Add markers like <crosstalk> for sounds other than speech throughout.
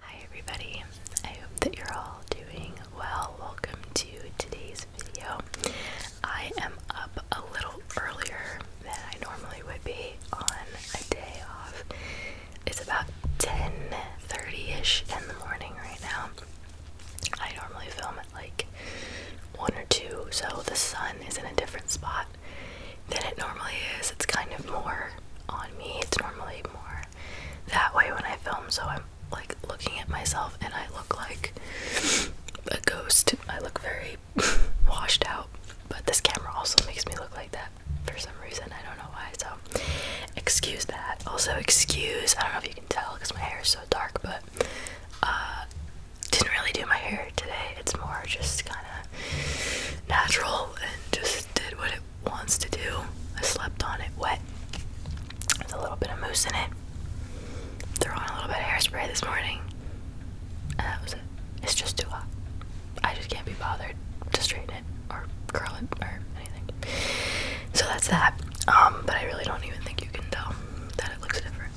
Hi everybody, I hope that you're all doing well. Welcome to today's video. I am up a little earlier than I normally would be on a day off. It's about 10:30ish in the morning right now. I normally film at like one or two, so the sun is in a different spot than it normally is. It's kind of more on me. It's normally more that way when I film, so I'm like looking at myself and I look like a ghost. I look very <laughs> washed out, but this camera also makes me look like that for some reason. I don't know why, so excuse that. Also, excuse, I don't know if if can tell because my hair is so dark, but uh, didn't really do my hair today. It's more just kind of natural and just did what it wants to do. I slept on it wet with a little bit of mousse in it. Threw on a little bit of hairspray this morning, and that was it. It's just too hot. I just can't be bothered to straighten it or curl it or anything. So that's that. Um, but I really don't even think you can tell that it looks different.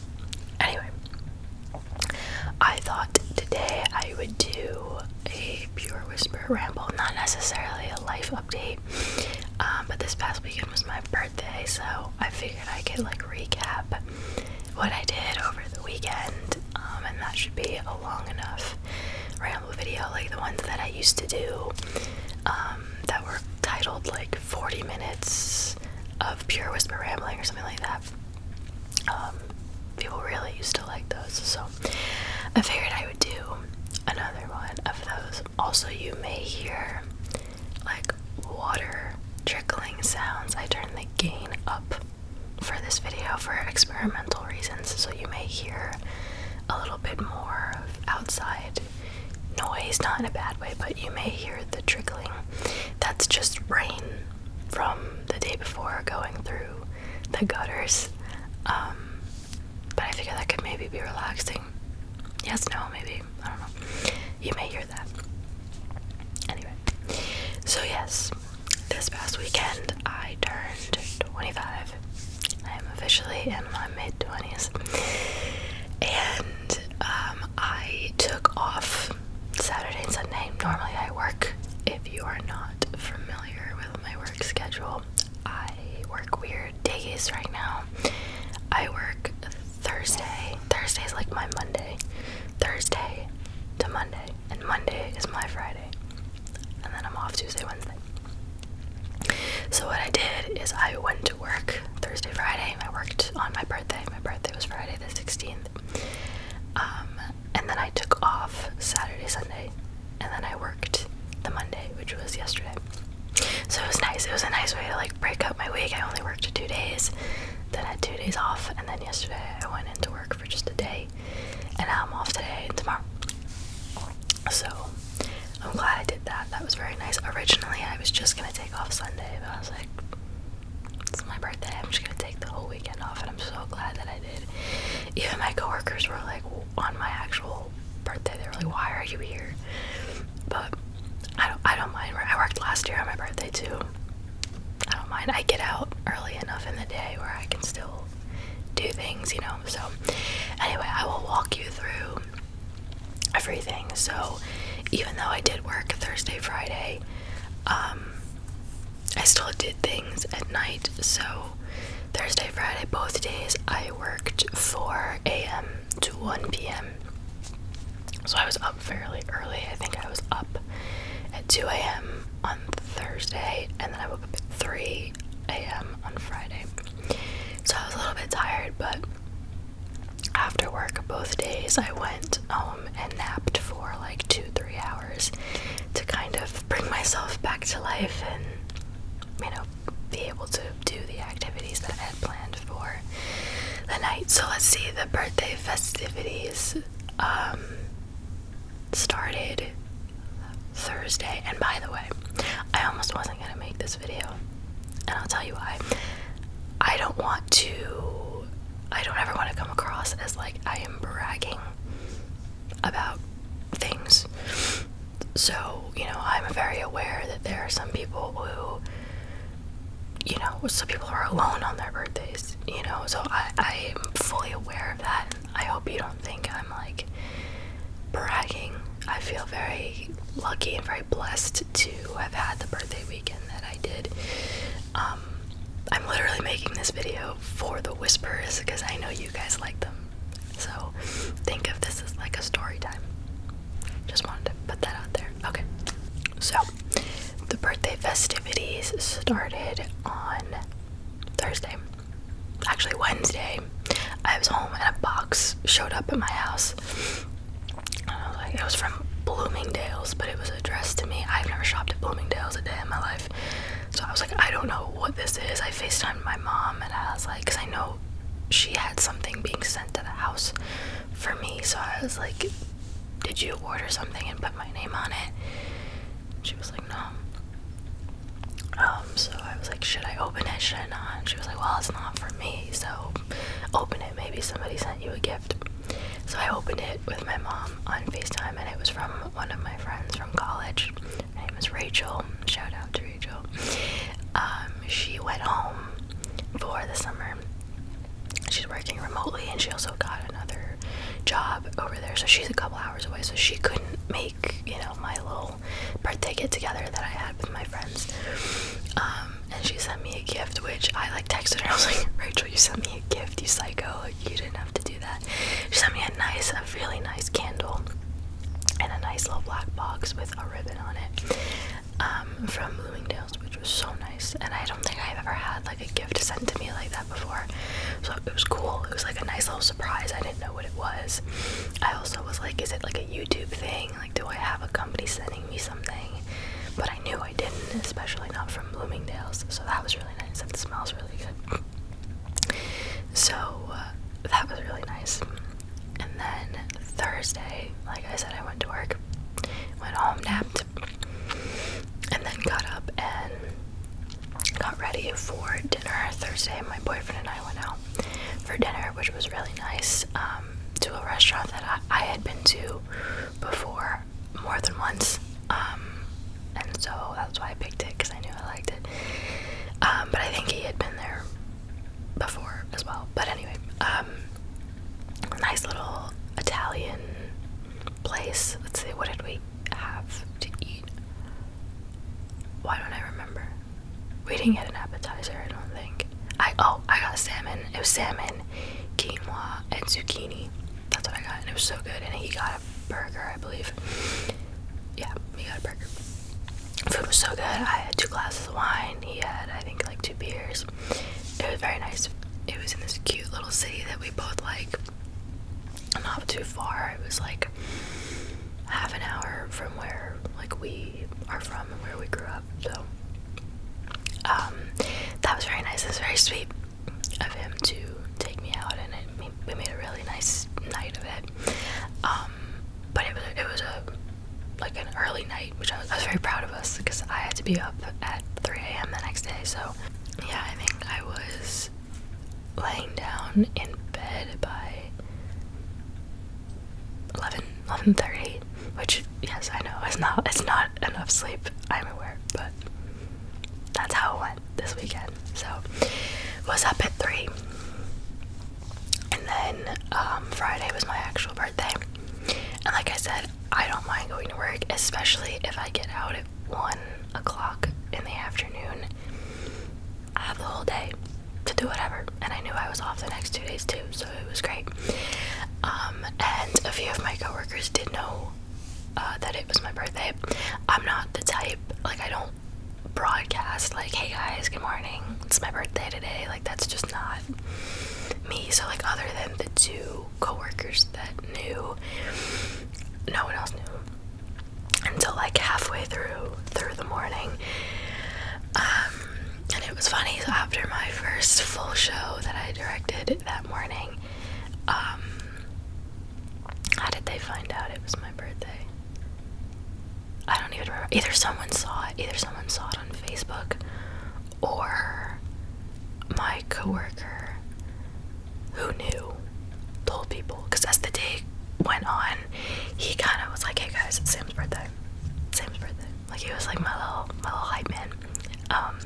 Anyway, I thought today I would do a pure whisper ramble, not necessarily a life update. Um, but this past weekend was my birthday, so I figured I could like recap what I did over the weekend, um, and that should be a long enough ramble video like the ones that I used to do. Um, that were titled like 40 minutes of pure whisper rambling or something like that. Um, people really used to like those, so I figured I would do another one of those. Also, you may hear like water trickling sounds. I turned the gain up for this video for experimental reasons, so you may hear a little bit more of outside noise, not in a bad way, but you may hear the trickling. That's just rain from the day before going through the gutters. Um, but I figure that could maybe be relaxing. Yes, no, maybe. I don't know. You may hear that. Anyway, so yes, this past weekend I turned 25 I am officially in my mid 20s. And um, I took off Saturday and Sunday. Normally I work. If you are not familiar with my work schedule, I work weird days right now. I work Thursday. Thursday is like my Monday. Thursday to Monday. And Monday is my Friday. And then I'm off Tuesday, Wednesday. So what I did is I went to work Thursday, Friday. I worked on my birthday. My birthday was Friday the 16th. Um, and then I took off Saturday, Sunday, and then I worked the Monday, which was yesterday. So it was nice. It was a nice way to like break up my week. I only worked two days, then had two days off, and then yesterday I went into work for just a day, and now I'm off today and tomorrow. So I'm glad I did that. That was very nice. Originally, I was just gonna take off Sunday, but I was like, it's my birthday. I'm just gonna take the whole weekend off, and I'm so glad that I did. Even my coworkers were like, on my actual birthday, they were like, why are you here? But I don't, I don't mind. I worked last year on my birthday too. I don't mind. I get out early enough in the day where I can still do things, you know. So, anyway, I will walk you through everything. So even though I did work Thursday, Friday, um, I still did things at night. So Thursday, Friday, both days, I worked 4 a.m. to 1 p.m. So I was up fairly early. I think I was up at 2 a.m. on Thursday, and then I woke up at 3 a.m. on Friday. So I was a little bit tired, but after work both days I went home and napped for like two, three hours to kind of bring myself back to life and, you know, be able to do the activities that I had planned for the night. So let's see, the birthday festivities um, started Thursday. And by the way, I almost wasn't going to make this video, and I'll tell you why. I don't want to, I don't ever want to come across as like I am bragging about things. So, you know, I'm very aware that there are some people who, you know, some people are alone on their birthdays, you know, so I, I am fully aware of that. I hope you don't think I'm like bragging. I feel very lucky and very blessed to have had the birthday weekend that I did. Um, I'm literally making this video for the whispers because I know you guys like them. So think of this as like a story time. Just wanted to put that out there. Okay. So the birthday festivities started on Thursday. Actually, Wednesday I was home and a box showed up at my house. And I was like, it was from Bloomingdale's, but it was addressed to me. I've never shopped at Bloomingdale's a day in my life. So I was like, I don't know what this is. I FaceTimed my mom and I was like, because I know she had something being sent to the house for me. So I was like, did you order something and put my name on it? She was like, no. Um, so I was like, should I open it? Should I not? she was like, well, it's not for me, so open it. Maybe somebody sent you a gift. So I opened it with my mom on FaceTime, and it was from one of my friends from college. Her name is Rachel. Shout out to Rachel. Um, she went home for the summer. She's working remotely, and she also got another job over there. So she's a couple hours away, so she couldn't make, you know, my little birthday get together that I had with my friends. Um, and she sent me a gift, which I like texted her. I was like, Rachel, you sent me a gift, you psycho. you didn't have to do that. She sent me a nice, a really nice candle and a nice little black box with a ribbon on it um, from Bloomingdale's, which was so nice. And I don't think I've ever had like a gift sent to me like that before. So it was cool. It was like a nice little surprise. I didn't know what it was. I also was like, is it like a YouTube thing? thing like do I have a company sending me something but I knew I didn't especially not from Bloomingdale's so that was really nice and it smells really good so uh, that was really nice and then Thursday like I said I went to work went home napped and then got up and got ready for dinner Thursday my boyfriend and I went out for dinner, which was really nice, um, to a restaurant that I, had been to before more than once. Um, and so that's why I picked it because I knew I liked it. Um, but I think he had been there before as well. But anyway, nice little Italian place. Let's see, what did we have to eat? Why don't I remember? We didn't get an appetizer, I don't think. I oh, I got salmon. It was salmon, quinoa, and zucchini. That's what I got, and it was so good. And he got a burger, I believe. Yeah, he got a burger. Food was so good. I had two glasses of wine. He had, I think, like two beers. It was very nice. It was in this cute little city that we both like. Not too far. It was like half an hour from where like we are from where we grew up. So um, that was very nice. It was very sweet of him to take me out, and we made a really nice night of it. Um, but it was it was a like an early night, which I was very proud of us because I had to be up at 3 a.m. the next day. So yeah, I think I was laying down in bed by 11 11:30 which yes I know it's not it's not enough sleep I'm aware but that's how it went this weekend so was up at 3 and then um, Friday was my actual birthday and like I said I don't mind going to work especially if I get out at 1 o'clock in the afternoon I have the whole day to do whatever, and I knew I was off the next two days too, so it was great. Um, and a few of my coworkers did know uh, that it was my birthday. I'm not the type like I don't broadcast like, "Hey guys, good morning, it's my birthday today." Like that's just not me. So like, other than the two coworkers that knew, no one else knew until like halfway through through the morning um, and it was funny. So after my first full show that I directed that morning, um, how did they find out it was my birthday? I don't even remember. Either someone saw it, either someone saw it on Facebook, or my coworker who knew told people. Because as the day went on, he kind of was like, "Hey guys, it's Sam's birthday. Sam's birthday." Like he was like my little my little hype man. Um.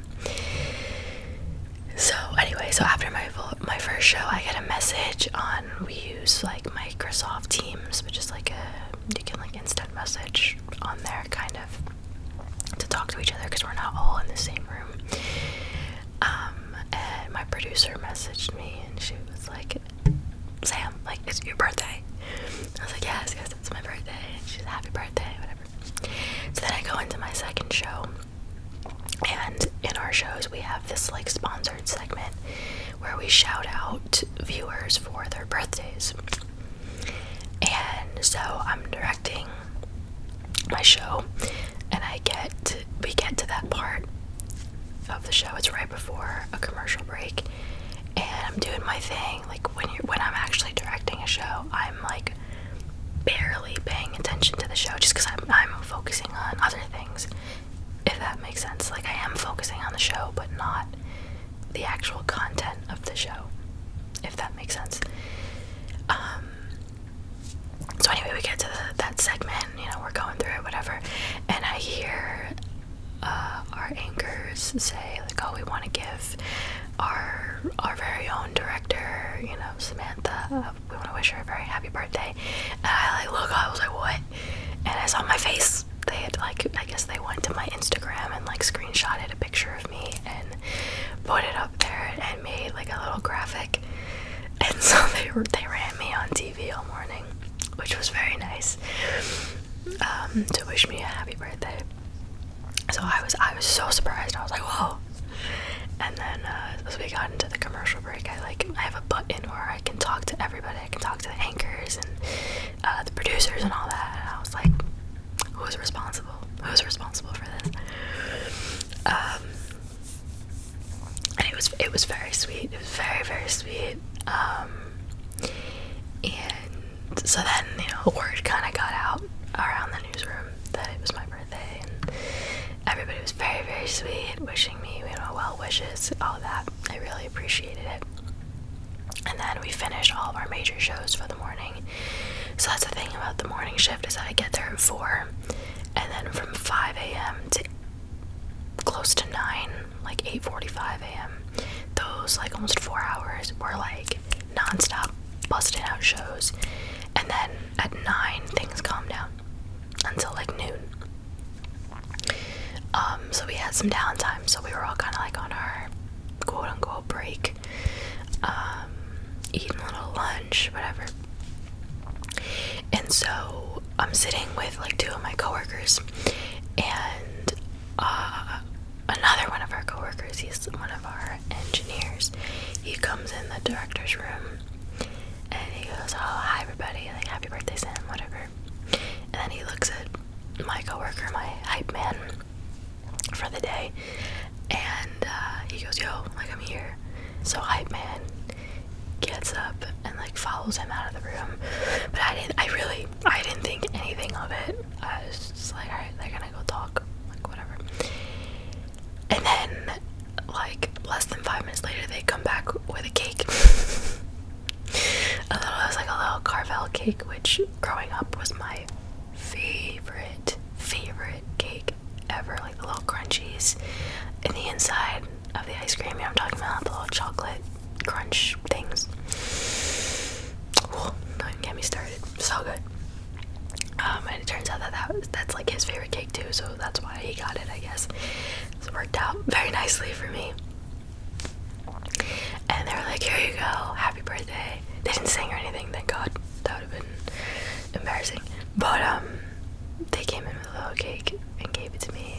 So anyway, so after my my first show, I get a message on we use like Microsoft Teams, which is like a you can like instant message on there kind of to talk to each other because we're not all in the same room. Um, and my producer messaged me and she was like, Sam, like, it's your birthday. I was like, yes, yes, it's my birthday. And she's happy birthday, whatever. So then I go into my second show. And in our shows, we have this like sponsored segment where we shout out viewers for their birthdays. And so I'm directing my show, and I get we get to that part, of the show. It's right before a commercial break, and I'm doing my thing. Like when you when I'm actually directing a show, I'm like barely paying attention to the show just because I'm focusing on other things. If that makes sense, like I am focusing on the show, but not the actual content of the show. If that makes sense. Um. So anyway, we get to that segment. You know, we're going through it, whatever, and I hear uh, our anchors say like oh we want to give our our very own director you know Samantha we want to wish her a very happy birthday and I like look I was like what and I saw my face they had like I guess they went to my Instagram and like screenshotted a picture of me and put it up there and made like a little graphic and <laughs> so they they ran me on TV all morning which was very nice um, to wish me a happy birthday. So I was I was so surprised. I was like, whoa. And then uh, as we got into the commercial break, I like I have a button where I can talk to everybody. I can talk to the anchors and uh, the producers and all that. And I was like, who's responsible? Who's responsible for this? Um, and it was it was very sweet. It was very very sweet. Um, and so then you know, word kind of got out around the newsroom that it was my birthday, and everybody was very, very sweet, wishing me, you know, well wishes, all that. I really appreciated it. And then we finished all of our major shows for the morning. So that's the thing about the morning shift is that I get there at four, and then from five a.m. to close to nine, like 8:45 a.m. Those like almost four hours were like nonstop busting out shows, and then at nine things calmed down until like noon. Um, so we had some downtime, so we were all kind of like on our quote unquote break, um, eating a little lunch, whatever. And so I'm sitting with like two of my coworkers, and uh, another one of our coworkers. He's one of our engineers. He comes in the director's room, and he goes, "Oh, hi everybody! Like happy birthday, Sam, whatever." And then he looks at my coworker, my hype man, for the day, and uh, he goes, "Yo, like I'm here." So hype man gets up and like follows him out of the room. But I didn't. I really I didn't think anything of it. I was just like, alright, they're gonna go talk. Like, whatever. And then, like, less than five minutes later, they come back with a cake. <laughs> a little, it was like a little Carvel cake, which growing up was my favorite, favorite cake ever. Like, the little crunchies in the inside of the ice cream. Yeah, I'm talking about the little chocolate crunch things. Ooh, don't get me started. So good. Um, and it turns out that, that was, that's like his favorite cake too, so that's why he got it, I guess. It's worked out very nicely for me. And they are like, here you go, happy birthday. They didn't sing or anything, thank God. That would have been embarrassing. But um, they came in with a little cake and gave it to me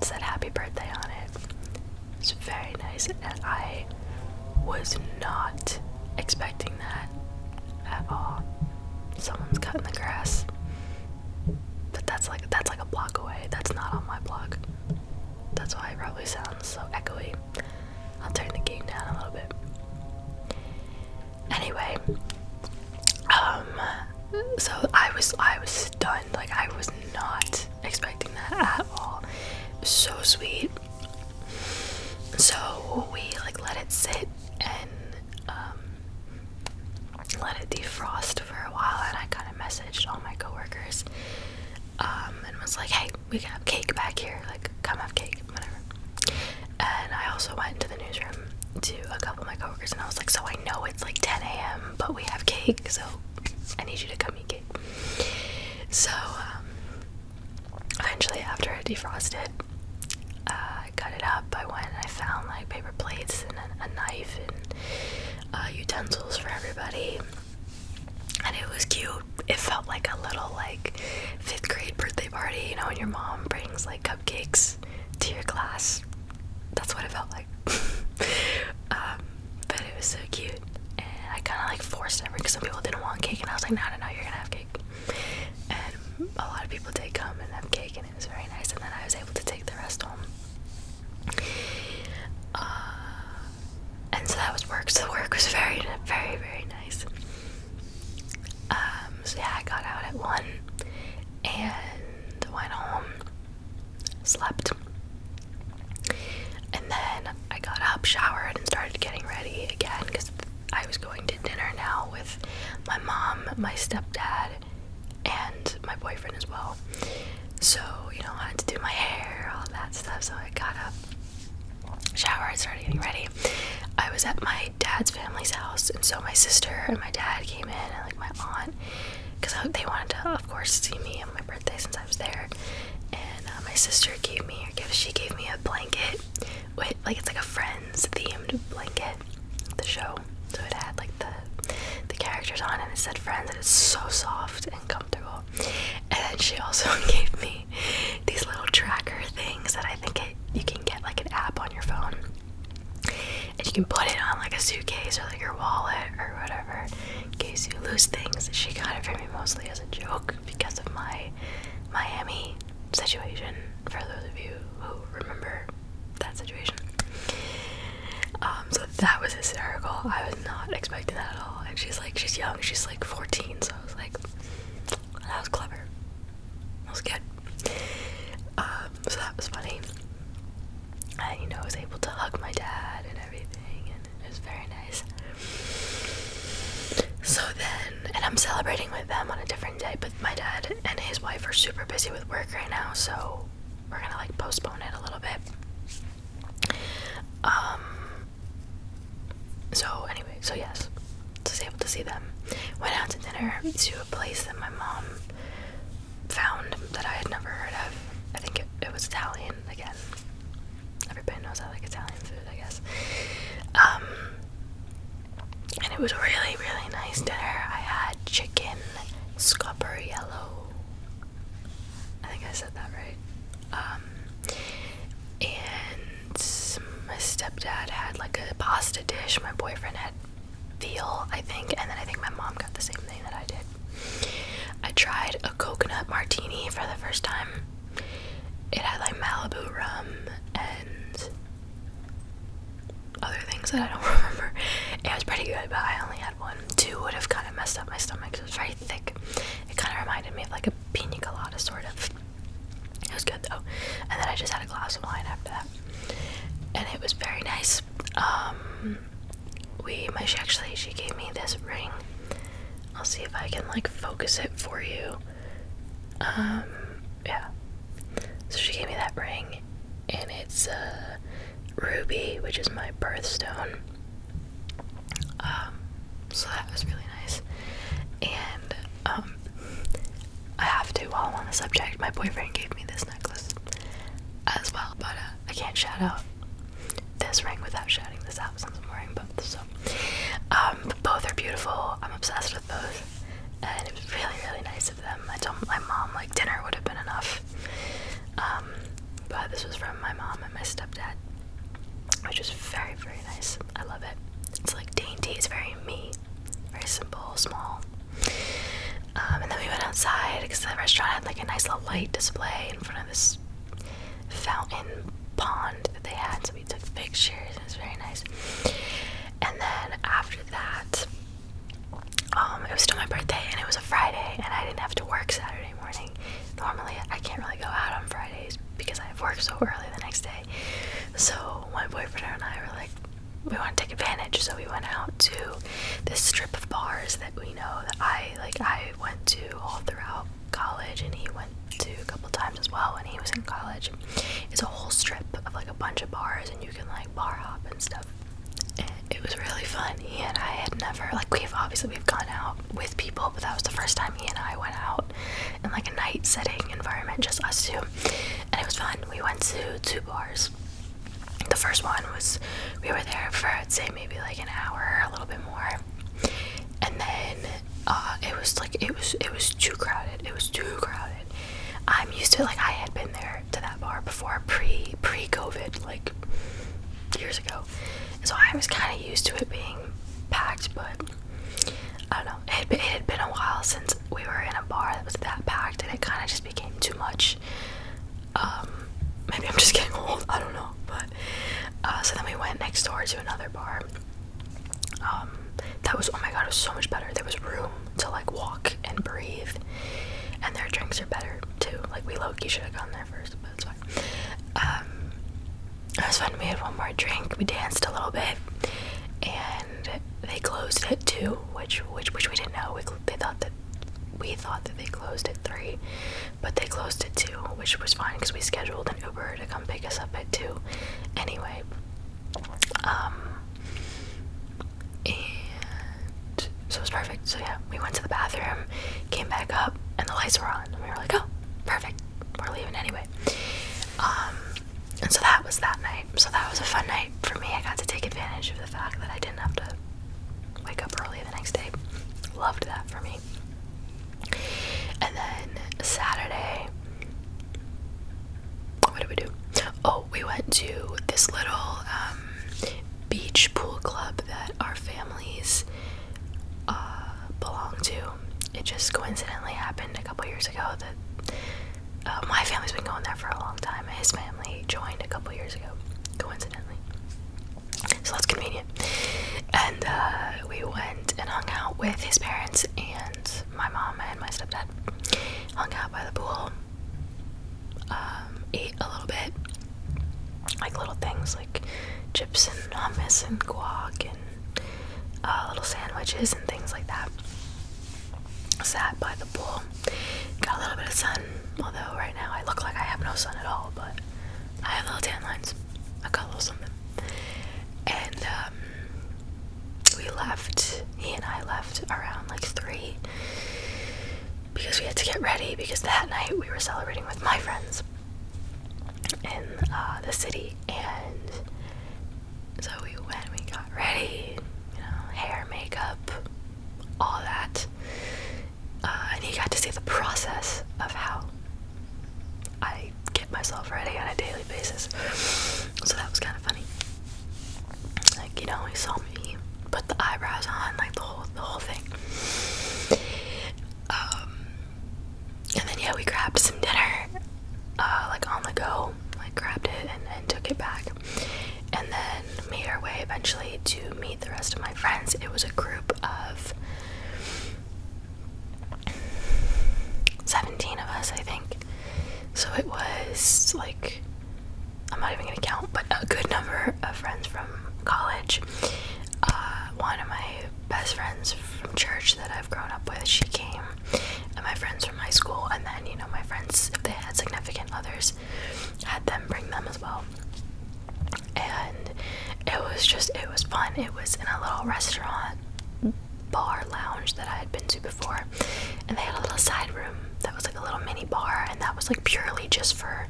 said happy birthday on it. It's very nice, and I was not expecting that at all. Someone's cutting the grass, but that's like that's like a block away. That's not on my block. That's why it probably sounds so echoey. I'll turn the game down a little bit. Anyway, um, so I was I was stunned. Like I was not expecting that at all. So sweet. So we like let it sit and um, let it defrost for a while, and I kind of messaged all my coworkers um, and was like, "Hey, we got cake back here. Like, come have cake, whatever." And I also went to the newsroom to a couple of my coworkers, and I was like, "So I know it's like 10 a.m., but we have cake, so I need you to come eat cake. So, um, eventually, after I defrosted, uh, I cut it up. I went and I found like paper plates and a, knife and uh, utensils for everybody. And it was cute. It felt like a little like fifth grade birthday party, you know, when your mom brings like cupcakes to your class. That's what it felt like. <laughs> Um, but it was so cute and I kinda like forced it because some people didn't want cake and I was like no no no you're gonna have cake and a lot of people did come and have cake and it was very nice and then I was able to take the rest home uh, and so that was work so work was very very very nice um, so yeah I got out at one and went home slept. And then I got up, showered, and started getting ready again because I was going to dinner now with my mom, my stepdad, and my boyfriend as well. So, you know, I had to do my hair, all that stuff. So I got up, showered, started getting ready. I was at my dad's family's house, and so my sister and my dad came in, and like my aunt, because they wanted to, of course, see me and my since I was there, and uh, my sister gave me or gift. She gave me a blanket with like it's like a Friends themed blanket, the show. So it had like the the characters on, and it said Friends, and it's so soft and comfortable. And then she also <laughs> gave me these little tracker things that I think it you can get like an app on your phone. And you can put it on like a suitcase or like your wallet or whatever, in case you lose things. She got it for me mostly as a joke because of my Miami situation, for those of you who remember that situation. Um, so that was hysterical. I was not expecting that at all. And she's like, she's young, she's like 14, so I was like, that was clever. That was good. Um, so that was funny. And you know, I was able to hug my dad and everything, and it was very nice. So then, and I'm celebrating with them on a different day, but my dad and his wife are super busy with work right now, so we're gonna like postpone it a little bit. Um. So anyway, so yes, I was able to see them. Went out to dinner to a place that my mom found that I had never heard of. I think it, was Italian again. Everybody knows I like Italian food, I guess. Um, and it was really, really nice dinner. I had chicken scupper yellow. I think I said that right. Um, and my stepdad had like a pasta dish. My boyfriend had veal, I think, and then I think my mom got the same thing that I did. I tried a coconut martini for the first time. It had like Malibu rum and other things that I don't <laughs> remember. It was pretty good, but I only had one. Two would have kind of messed up my stomach. It was very thick. It kind of reminded me of like a pina colada, sort of. It was good though. And then I just had a glass of wine after that. And it was very nice. Um, we she actually she gave me this ring. I'll see if I can like focus it for you. Um, yeah. So she gave me that ring and it's a uh, ruby, which is my birthstone. Um, so that was really nice. And um, I have to while I'm on the subject, my boyfriend gave me this necklace as well, but uh, I can't shout out this ring without shouting this out since I'm wearing both. So, um, both are beautiful. I'm obsessed with both, and it was really, really nice of them. I told my mom like dinner would have been enough, um, but this was from my mom and my stepdad, which is very, very nice. I love it. It's like dainty. It's very me, very simple, small. Um, and then we went outside because the restaurant had like a nice little light display in front of this fountain pond that they had. So we took pictures. It was very nice. And then after that, um, it was still my birthday and it was a Friday and I didn't have to work Saturday morning. Normally, I can't really go out on Fridays because I have work so early the next day. So my boyfriend and I were like, we want to take advantage. So we went out to this strip of bars that we know that I like I went to all throughout college and he went to a couple times as well when he was in college. It's a whole strip of like a bunch of bars and you can like bar hop and stuff. it was really fun. He and I had never like we've obviously we've gone out with people, but that was the first time he and I went out in like a night setting environment, just us two. And it was fun. We went to two bars the first one was we were there for I'd say maybe like an hour, a little bit more, and then uh, it was like it was it was too crowded. It was too crowded. I'm used to like I had been there to that bar before pre pre COVID like years ago, so I was kind of used to it being packed, but. I don't know. it had been a while since we were in a bar that was that packed, and it kind of just became too much. Um, maybe I'm just getting old. I don't know. But uh, so then we went next door to another bar. Um, that was oh my god, it was so much better. There was room to like walk and breathe, and their drinks are better too. Like we low should have gone there first, but it's fine. Um, it was fun. We had one more drink. We danced a little bit, and they closed it too, which which which we didn't know. We they thought that we thought that they closed at three, but they closed it too, which was fine because we scheduled an Uber to come pick us up at 2 anyway. Um, and so it was perfect. So, yeah, we went to the bathroom, came back up, and the lights were on. And we were like, oh, perfect. We're leaving anyway. Um, and so that was that night. So that was a fun night for me. I got to take advantage of the fact that I didn't have to wake up early the next day. Loved that for me. And then Saturday, what did we do? Oh, we went to this little um, beach pool club that our families uh, belong to. It just coincidentally happened a couple years ago that. Uh, my family's been going there for a long time. His family joined a couple years ago, coincidentally so that's convenient. And uh, we went and hung out with his parents and my mom and my stepdad. Hung out by the pool. Um, ate a little bit, like little things like chips and hummus and guac and uh, little sandwiches and things like that. Sat by the pool, got a little bit of sun. Although right now I look like I have no sun at all, but I have little tan lines. I got a little something. And um, we left. He and I left around like three because we had to get ready because that night we were celebrating with my friends in uh, the city and so we went we got ready you know hair makeup all that uh, and he got to see the process of how I get myself ready on a daily basis. So that was kind of funny. Like you know, he saw me put the eyebrows on, like the whole the whole thing. Um, and then yeah, we grabbed some dinner, uh, like on the go. Like grabbed it and took it back, and then then made our way eventually to meet the rest of my friends. It was a group of 17 of us, I think. So it was like, I'm not even gonna count, but a good number of friends from college. Uh, one of my best friends from church that I've grown up with, she came, and my friends from high school, and then, you know, my friends, if they had significant others, had them bring them as well and it was just it was fun. It was in a little restaurant bar lounge that I had been to before, and they had a little side room that was like a little mini bar, and that was like purely just for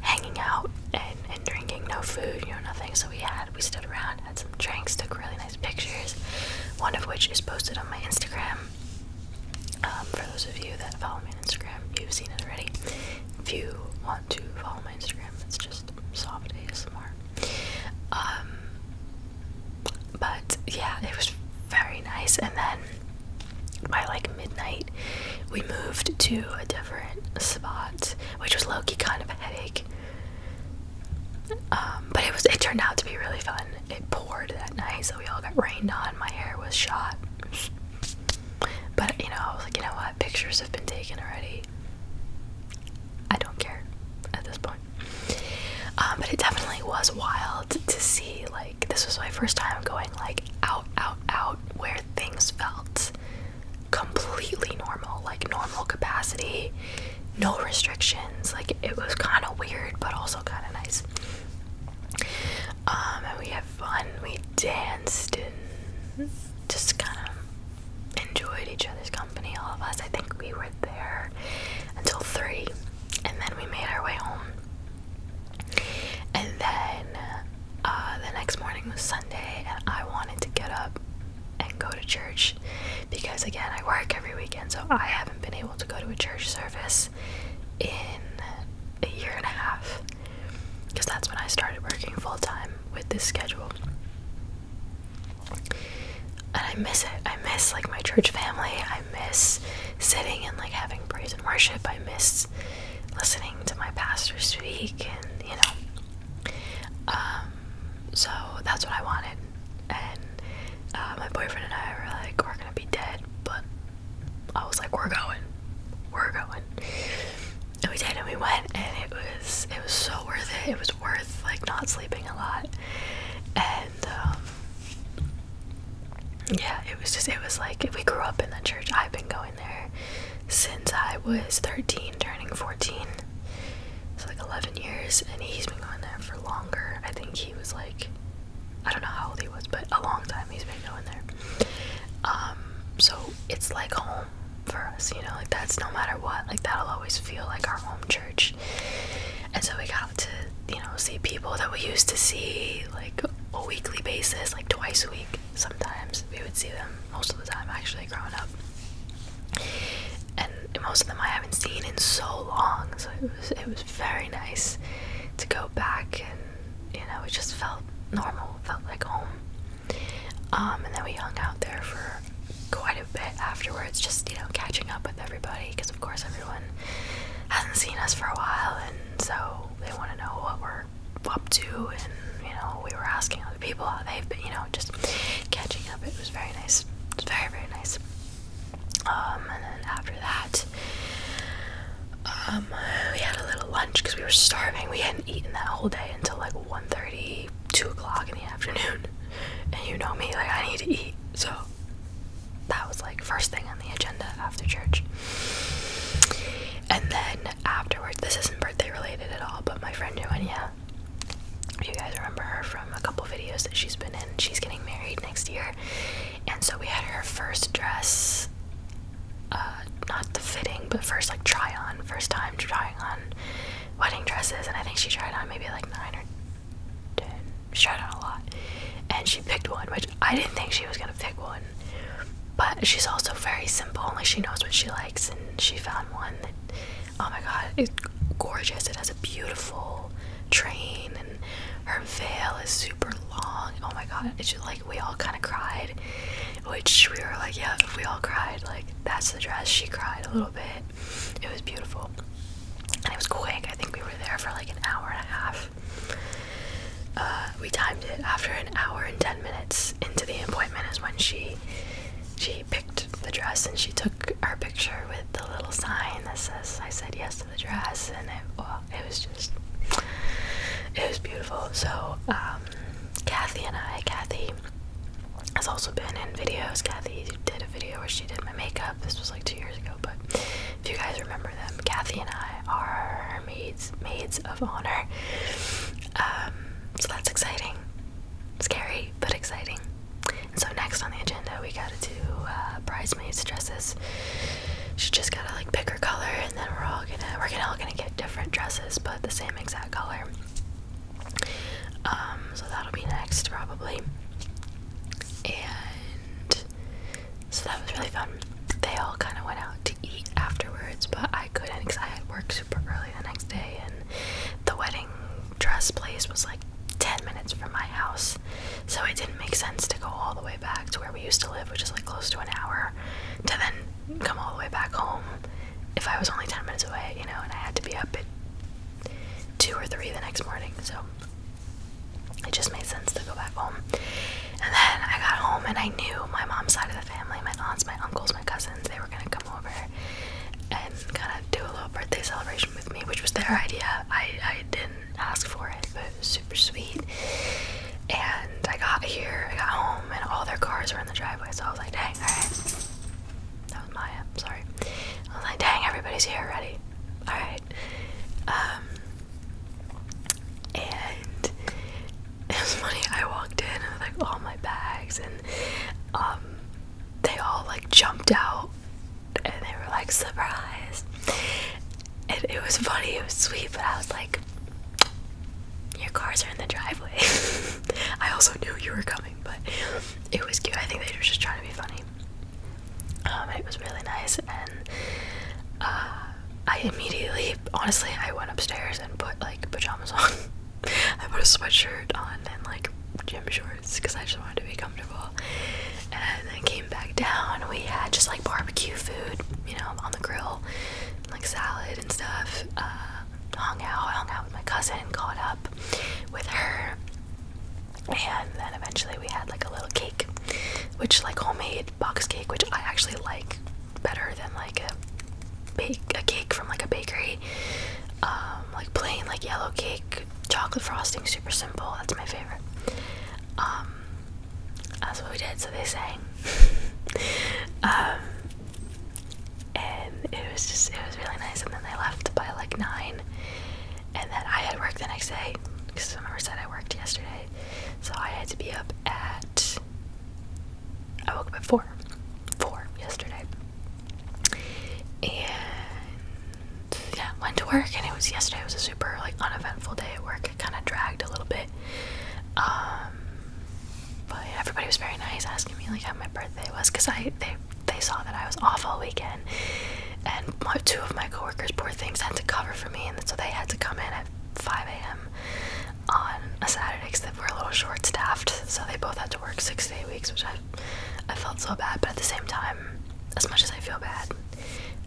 hanging out and, drinking. No food, you know, nothing. So we had we stood around, had some drinks, took really nice pictures. One of which is posted on my Instagram. Um, for those of you that follow me on Instagram, you've seen it already if you want to follow my Instagram, it's just soft ASMR. Um, but yeah, it was very nice. And then by like midnight, we moved to a different spot, which was low key kind of a headache. Um, but it was it turned out to be really fun. It poured that night, so we all got rained on. My hair was shot. But you know, I was like, you know what? Pictures have been taken already. I don't care at this point. Um, but it definitely was wild to see. Like, this was my first time going like out, out, out, where things felt completely normal, like normal capacity, no restrictions. Like, it was kind of weird, but also kind of nice. Um, and we fun. We danced and just kind of enjoyed each other's company, all of us. I think we were there until three, and then we made our way home. And then uh, the next morning was Sunday, and I wanted to get up and go to church because, again, I work every weekend, so I haven't been able to go to a church service in a year and a half because that's when I started working full time with this schedule. And I miss it. I miss like my church family. I miss sitting and like having praise and worship. I miss listening to my pastor speak and you know. Um, so that's what I wanted. And uh, my boyfriend and I were like, we're gonna be dead, but I was like, we're going, we're going. And we did, and we went, and it was it was so worth it. It was worth like not sleeping a lot, and um, yeah, it was just it was like we grew up in the church. I've been going there since I was thirteen, turning fourteen. It's like eleven years, and he's been going there for longer. I think he was like, I don't know how old he was, but a long time he's been going there. Um, so it's like home for us, you know, like that's no matter what, like that'll always feel like our home church. And so we got to, you know, see people that we used to see like a weekly basis, like twice a week sometimes. We would see them most of the time actually growing up. And most of them I haven't seen in so long, so it was it was very nice to go back and you know, it just felt normal, felt like home. Um, and then we hung out there for quite a bit afterwards, just you know, catching up with everybody because, of course, everyone hasn't seen us for a while, and so they want to know what we're up to. And you know, we were asking other people how they've been, you know, just catching up. It was very nice, it very, very nice. Um, and then after that, um, we had a little lunch because we were starving. We hadn't eaten that whole day until like 1.30, 2 o'clock in the afternoon. And you know me, like I need to eat. So that was like first thing on the agenda after church. And then afterwards, this isn't birthday related at all, but my friend Joania, you guys remember her from a couple videos that she's been in. She's getting married next year. And so we had her first dress uh, not the fitting, but first like try on, first time trying on wedding dresses, and I think she tried on maybe like nine or ten. She tried on a lot, and she picked one, which I didn't think she was gonna pick one. But she's also very simple, like she knows what she likes, and she found one that, oh my god, it's gorgeous. It has a beautiful train, and her veil is super long. Oh my god, it's just like we all kind of cried, which we were like, yeah, if we all cried, like that's the dress. She cried a little bit. It was beautiful, and it was quick. I think we were there for like an hour and a half. Uh, we timed it after an hour and ten minutes into the appointment is when she she picked the dress and she took our picture with the little sign that says I said yes to the dress and it it was just it was beautiful so um, Kathy and I, Kathy has also been in videos. Kathy did a video where she did my makeup. This was like two years ago, but if you guys remember them, Kathy and I are maids, maids of honor. Um, so that's exciting, scary but exciting. so next on the agenda, we gotta do uh, bridesmaids dresses. She just gotta like pick her color and then we're all gonna we're gonna all gonna get different dresses but the same exact color. Um, so that'll be next probably. And so that was really fun. They all kind of went out to eat afterwards, but I couldn't because I had work super early the next day, and the wedding dress place was like 10 minutes from my house, so it didn't make sense to go all the way back to where we used to live, which is like close to an hour, to then come all the way back home if I was only 10 minutes away, you know, and I had to be up at 2 or 3 the next morning. So it just made sense to go back home. And then I got home and I knew my mom's side of the family, my aunts, my uncles, my cousins, they were going to come over and kind of do a little birthday celebration with me, which was their idea. I, I didn't ask for it, but it was super sweet. And I got here, I got home, and all their cars were in the driveway. So I was like, dang, all right. That was Maya, sorry. I was like, dang, everybody's here ready? All right. Um, and <laughs> it was funny. I walked in with like all my bags, and um, they all like jumped out, and they were like surprised. And it was funny. It was sweet, but I was like, your cars are in the driveway. <laughs> I also knew you were coming, but it was cute. I think they were just trying to be funny. Um, it was really nice, and uh, I immediately, honestly, I went upstairs and put like pajamas on. <laughs> I put a sweatshirt on and like gym shorts because I just wanted to be comfortable. And then came back down. We had just like barbecue food, you know, on the grill, like salad and stuff. Uh, hung out, hung out with my cousin, and caught up with her, and then eventually we had like a little cake, which like homemade box cake, which I actually like better than like a bake a cake from like a bakery. Um, like plain like yellow cake, chocolate frosting, super simple. That's my favorite. Um, that's what we did. So they sang, <laughs> um, and it was just it was really nice. And then they left by like nine, and then I had work the next day because I remember I said I worked yesterday, so I had to be up at. I woke up at four, four yesterday, and yeah, went to work. And it was yesterday It was a super like uneventful day at work. It kind of dragged a little bit. Um, but everybody was very nice asking me like how my birthday was because I they they saw that I was off all weekend and two of my coworkers poor things had to cover for me and so they had to come in at 5 a.m. on a Saturday because they were a little short staffed so they both had to work six day weeks which I I felt so bad but at the same time as much as I feel bad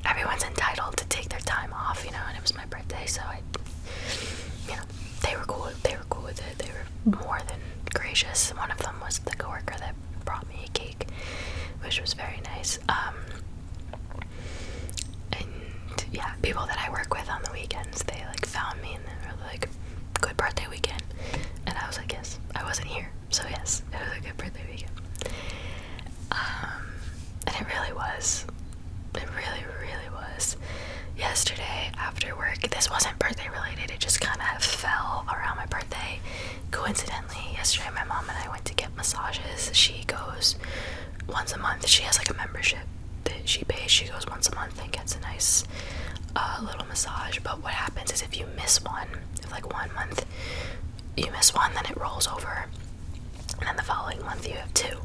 everyone's entitled to take their time off you know and it was my birthday so I you know they were cool. They were cool with it. They were more than gracious. One of them was the coworker that brought me a cake, which was very nice. Um, and yeah, people that I work with on the weekends, they like found me and they were like, "Good birthday weekend," and I was like, "Yes, I wasn't here, so yes, it was a good birthday weekend." Um, and it really was. It really, really was. Yesterday after work, this wasn't birthday related, it just kind of fell around my birthday. Coincidentally, yesterday my mom and I went to get massages. She goes once a month, she has like a membership that she pays. She goes once a month and gets a nice uh, little massage. But what happens is if you miss one, if like one month you miss one, then it rolls over. And then the following month you have two.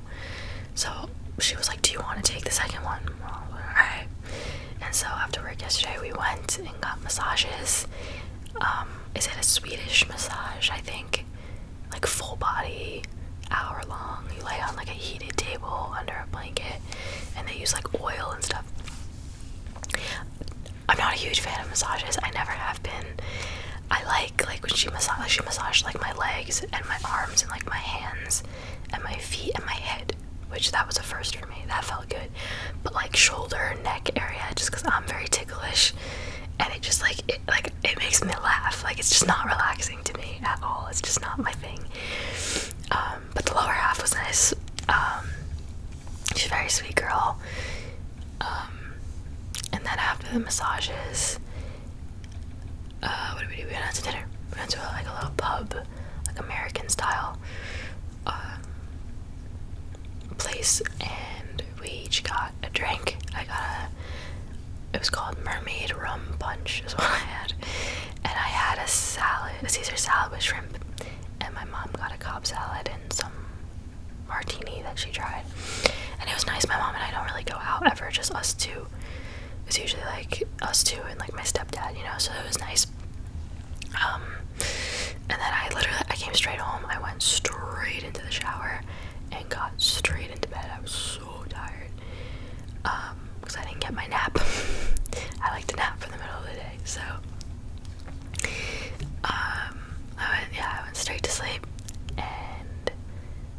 So she was like, Do you want to take the second one? Alright. And so after work yesterday, we went and got massages. Um, is it a Swedish massage? I think. Like full body, hour long. You lay on like a heated table under a blanket, and they use like oil and stuff. I'm not a huge fan of massages. I never have been. I like like when she massage she massaged like my legs and my arms and like my hands and my feet and my head, which that was a first for me. That felt good. But like shoulder, neck area, just because I'm very ticklish, and it just like it like it makes me laugh. Like it's just not relaxing to me at all. It's just not my thing. Um, but the lower half was nice. Um, she's a very sweet girl. Um, and then after the massages, uh, what did we do? We went out to dinner. We went to a, uh, like a little pub, like American style um, place, and we each got a drink. I got a. It was called Mermaid Rum Punch, is what I had, and I had a salad, a Caesar salad with shrimp, and my mom got a Cobb salad and some martini that she tried, and it was nice. My mom and I don't really go out ever, just us two. It was usually like us two and like my stepdad, you know, so it was nice. Um, and then I literally I came straight home. I went straight into the shower and got straight into bed. I was so tired because um, I didn't get my nap. <laughs> I like to nap for the middle of the day, so um, I went yeah I went straight to sleep and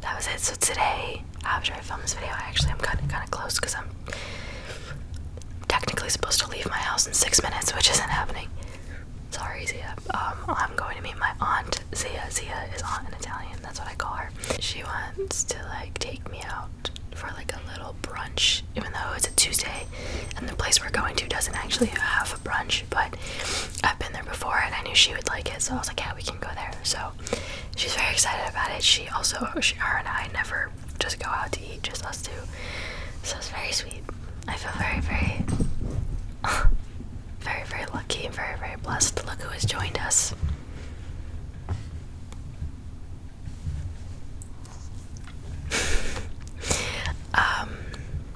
that was it. So today after I film this video, I actually am kind of kind of close because I'm technically supposed to leave my house in six minutes, which isn't happening. Sorry, Zia. Um, I'm going to meet my aunt Zia. Zia is aunt in Italian. That's what I call her. She wants to like take me out for like a little brunch, even though it's a Tuesday, and the place we're going to doesn't actually have a brunch. But I've been there before, and I knew she would like it, so I was like, yeah, we can go there. So she's very excited about it. She also, she, her and I never just go out to eat, just us two. So it's very sweet. I feel very, very, <laughs> very, very lucky and very, very blessed. Look who has joined us. <laughs> um,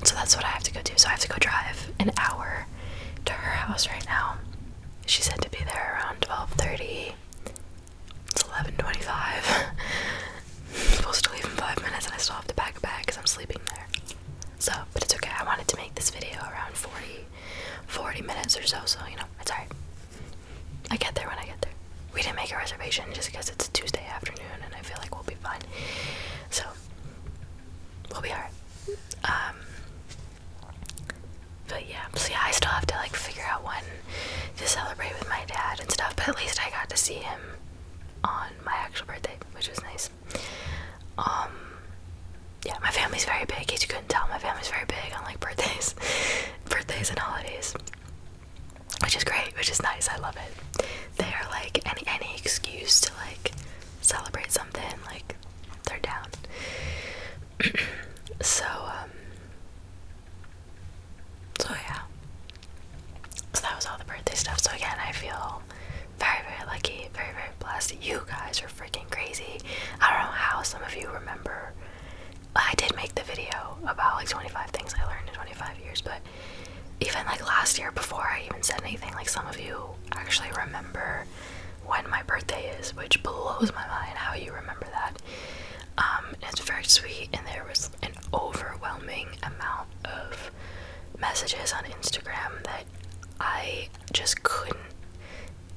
so that's what I have to go do. So I have to go drive an hour to her house right now. She said to be there around 12:30. It's 11:25. <laughs> supposed to leave in five minutes, and I still have to pack a bag because I'm sleeping there. So, but it's okay. I wanted to make this video around 40, 40 minutes or so. So you know, it's alright. I get there when I get there. We didn't make a reservation just because it's a Tuesday afternoon, and I feel like we'll be fine. So, we'll be alright. Um, but yeah, so yeah, I still have to like figure out when to celebrate with my dad and stuff. But at least I got to see him on my actual birthday, which was nice. Um, yeah, my family's very big. In you couldn't tell, my family's very big on like birthdays, <laughs> birthdays and holidays, which is great, which is nice. I love it. They are like any any excuse to like celebrate something, like they're down. <clears throat> so, um, so yeah. So that was all the birthday stuff. So again, I feel very, very lucky, very, very blessed. You guys are freaking crazy. I don't know how some of you remember. I did make the video about like 25 things I learned in 25 years, but even like last year before I even said anything, like some of you actually remember when my birthday is, which blows my mind how you remember that. Um, it's very sweet, and there was an overwhelming amount of messages on Instagram that I just couldn't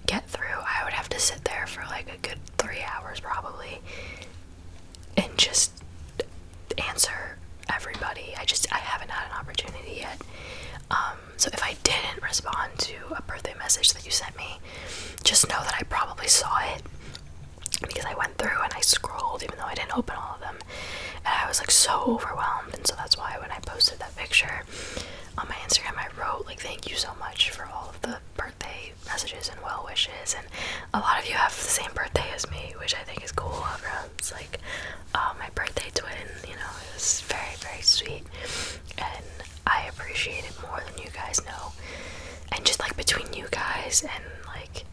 get through. I would have to sit there for like a good three hours probably and just answer everybody. I just I haven't had an opportunity yet. Um, so if I didn't respond to a birthday message that you sent me, just know that I probably saw it because I went through and I scrolled, even though I didn't open all of them. And I was like so overwhelmed, and so that's why when I posted that picture on my Instagram, I wrote like thank you so much for all of the birthday messages and well wishes. And a lot of you have the same birthday as me, which I think is cool. like, oh, my birthday twin. You know, it was very very sweet and I appreciate it more than you guys know. And just like between you guys and like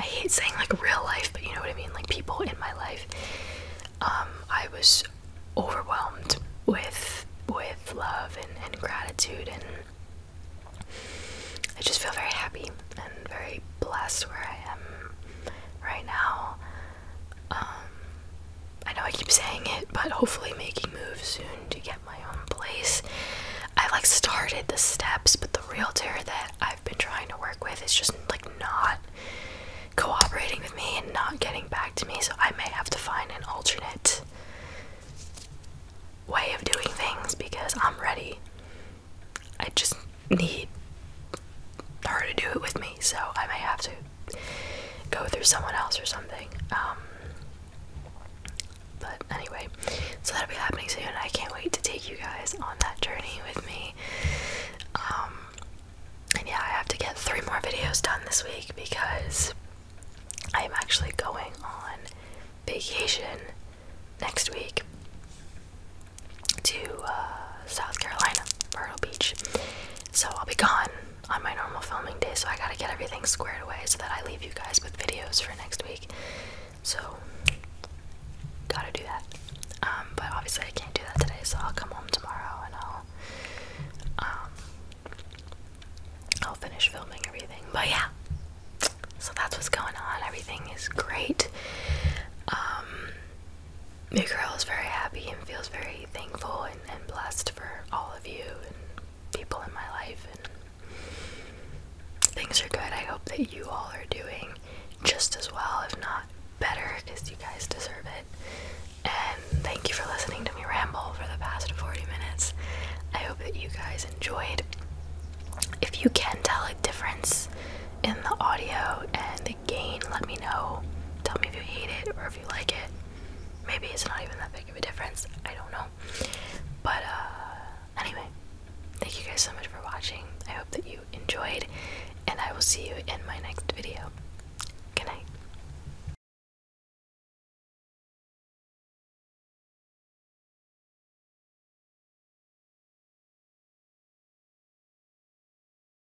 I hate saying like real life, but you know what I mean, like people in my life. Um, I was overwhelmed with with love and, and gratitude and I just feel very happy and very blessed where I am right now. Um, I know I keep saying it, but hopefully making moves soon to get my own place. I like started the steps, but the realtor that I've been trying to work with is just like not cooperating with me and not getting back to me, so I may have to find an alternate way of doing things because I'm ready. I just need her to do it with me, so I may have to go through someone else or something. Um, but anyway, so that'll be happening soon. I can't wait to take you guys on that journey with me. Um, and yeah, I have to get three more videos done this week because I am actually going on vacation next week to uh, South Carolina, Myrtle Beach. So I'll be gone on my normal filming day, so I gotta get everything squared away so that I leave you guys with videos for next week. So, gotta do that. Um, but obviously, I can't do that today, so I'll come home tomorrow and I'll, um, I'll finish filming everything. But yeah, so that's what's going on. Everything is great. Um, your girl is very happy and feels very thankful and, and blessed for all of you and people in my life. And things are good. I hope that you all are doing just as well, if not better, because you guys deserve it. And thank you for listening to me ramble for the past 40 minutes. I hope that you guys enjoyed. If you can tell a difference in the audio and gain, let me know. Tell me if you hate it or if you like it. Maybe it's not even that big of a difference. I don't know. But uh, anyway, thank you guys so much for watching. I hope that you enjoyed, and I will see you in my next video. Good night.